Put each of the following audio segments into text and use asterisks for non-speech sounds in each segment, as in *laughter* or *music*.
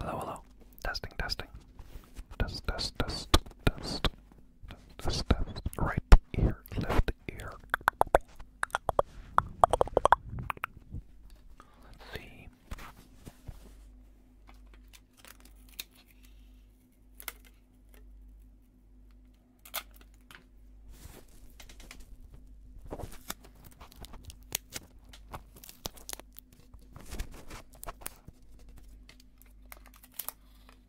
Hello, hello. Testing, testing. Test, test, test, test, this test. Right ear, left ear. Let's see.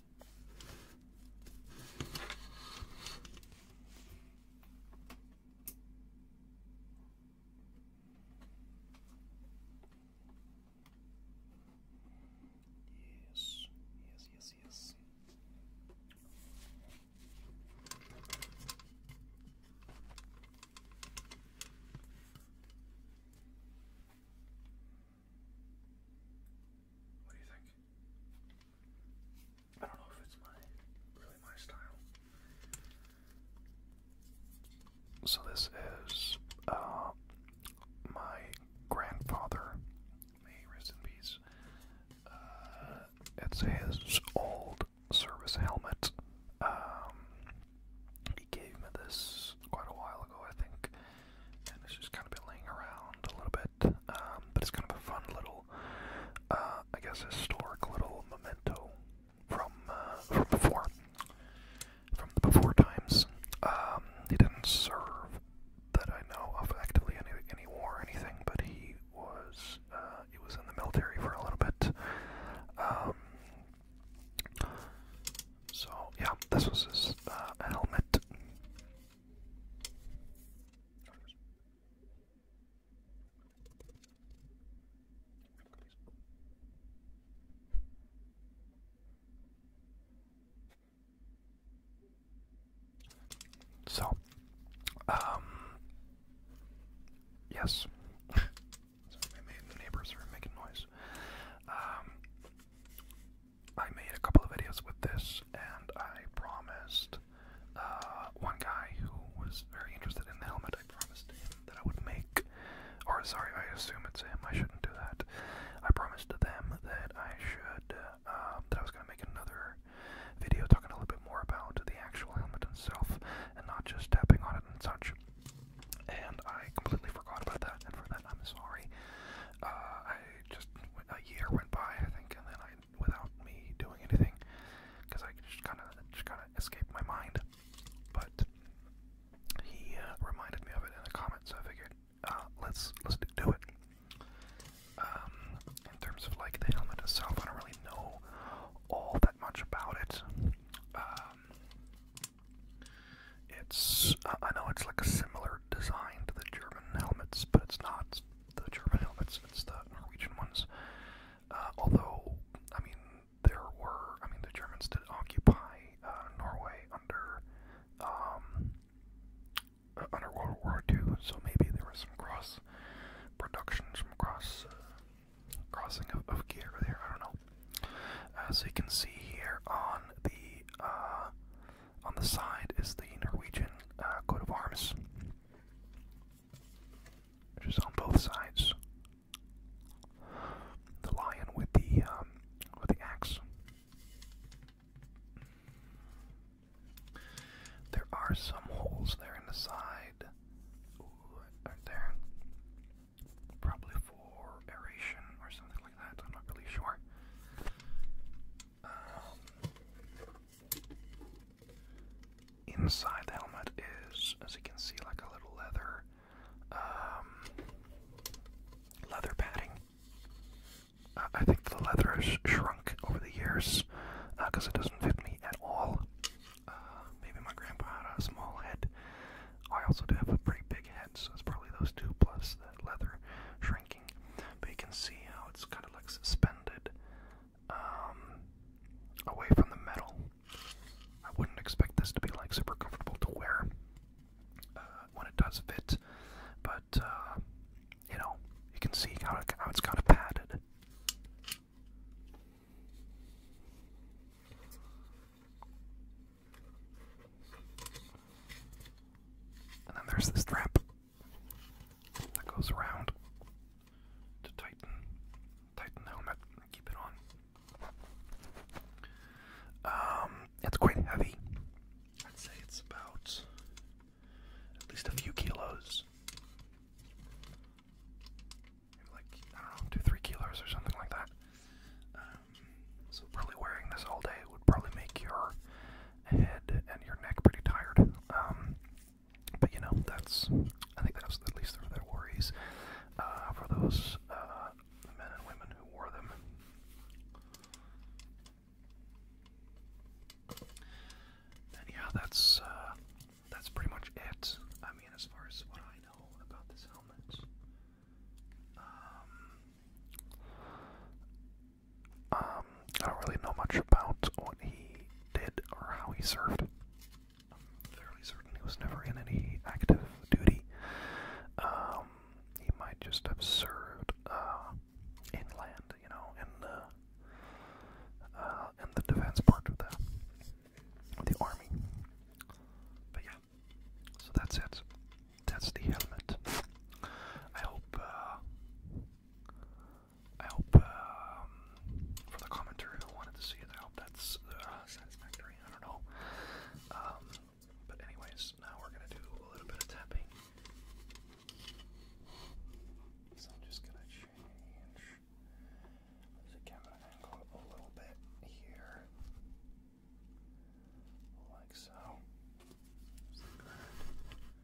Yes, yes, yes, yes. What do you think? I don't know if it's my really my style. So this is uh, my grandfather, may he rest in peace. Uh, it's his old service helmet. Um, he gave me this quite a while ago, I think, and it's just kind of been laying around a little bit. Um, but it's kind of a fun little, uh, I guess, historic little memento from uh, from before, from the before times. Um, he didn't serve that I know of actively any any war or anything, but he was uh, he was in the military for a little bit. Um, so yeah, this was his helmet. So, um, yes. *laughs* Sorry, maybe neighbors are making noise. Um, I made a couple of videos with this, and I promised uh, one guy who was very interested in the helmet, I promised him that I would make, or sorry, I assume it's him, I shouldn't do that. I promised to them that I should, uh, that I was going to make another video talking a little bit more about the actual helmet itself, and not just tapping on it and such. And I completely forgot about that, and for that I'm sorry. Uh, I just, a year went by, I think, and then I without me doing anything, because I just kind of just kind of escaped my mind. But he uh, reminded me of it in a comment, so I figured uh, let's let's do it. Um, in terms of like the helmet itself, I don't really know all that much about it. Um, it's uh, I know it's like a similar design to the German helmets, but it's not the German helmets, it's the Norwegian ones. Uh, although, I mean, there were, I mean, the Germans did occupy uh, Norway under um, uh, under World War II, so maybe there was some cross productions from cross uh, crossing of, of gear there. I don't know. As uh, you can see here on the uh, on the side is the Norwegian uh, coat of arms, which is on both sides. The lion with the um, with the axe. There are some holes there in the side. there. Probably for aeration or something like that. I'm not really sure. Um, Inside the helmet is, as you can see, like a little leather, um, leather padding. Uh, I think the leather has shrunk over the years because uh, it doesn't fit me at all. Uh, maybe my grandpa had a small head. I also do have a pretty big head, so it's probably those two plus the leather shrinking. But you can see how it's kind of like suspended um, away from the metal. I wouldn't expect this to be like super comfortable to wear uh, when it does fit, but uh, you know, you can see how, how it's kind of padded. And then there's the strap that goes around to tighten, tighten the helmet and keep it on. Um, it's quite heavy. I'd say it's about at least a few kilos. like, two, three kilos or something like that. Um, so, probably wearing this all day would probably make your head and your neck pretty tired. Um, but you know, that's I think that's at least they're their worries uh, for those uh, men and women who wore them. yeah, that's uh, that's pretty much it. I mean, as far as what I know about this helmet. Um, um, I don't really know much about what he did or how he served. I'm fairly certain he was never in any active duty. Um, he might just have served uh, inland, you know, in the uh, in the defense part of the the army. But yeah, so that's it. That's the helmet. I hope uh, I hope um, for the commenter who wanted to see it, I hope that's uh, satisfactory. I don't know. Um, but anyways, now we're gonna do a little bit of tapping. So I'm just gonna change the camera angle a little bit here, like so.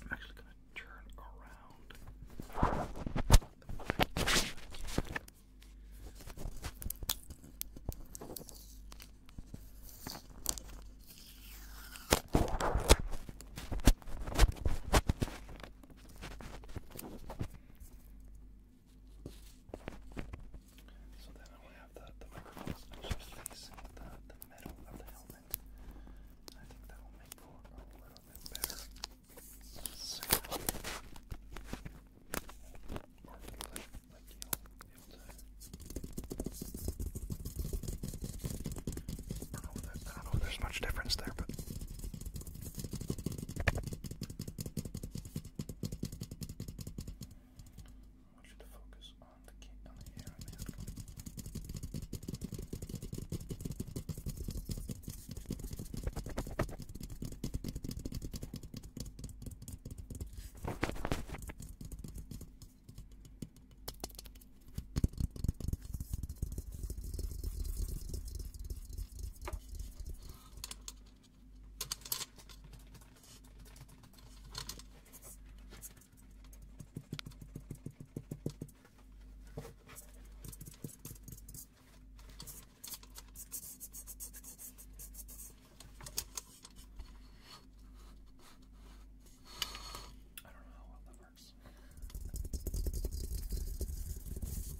I'm actually going to turn around the mic so then I want have the, the microphones actually facing the, the metal of the helmet. I that will make for a little bit better sound. you I don't know if there's much difference there, but I want you to focus on the key on the hair on the head. Good. I don't know how well that works.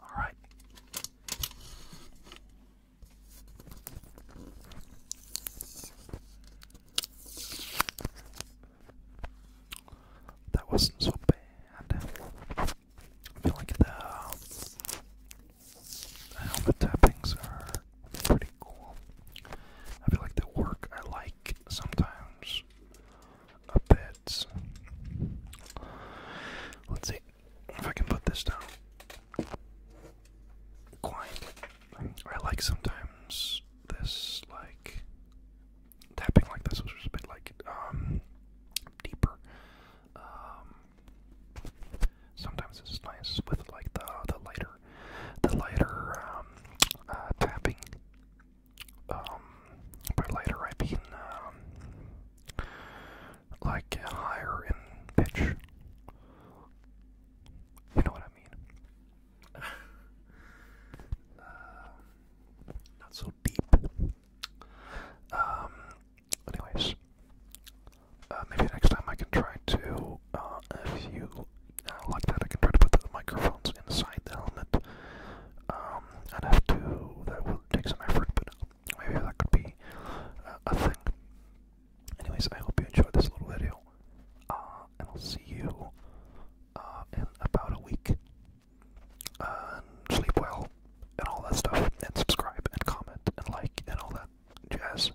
All right. That wasn't so bad. I feel like the, um, the tappings are pretty cool. I feel like the work I like sometimes of beds. Let's see if I can put this down quietly. I like sometimes this, like tapping like this, which was a bit like um deeper. Um, sometimes this is nice with like the the lighter, the lighter um, uh, tapping. Um, but later I mean, um, like higher in pitch. You know what I mean? Uh, not so deep. Um, anyways, uh, maybe next time I can try to, uh, if you uh, like that, I can try to put the microphones inside the helmet um, I'd have to, that will take some effort, but maybe that could be uh, a thing. Anyways, I hope you enjoyed this little video, uh, and I'll see you uh, in about a week. and sleep well, and all that stuff, and subscribe, and comment, and like, and all that jazz.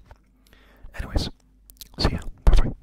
Anyways, see ya. Bye bye.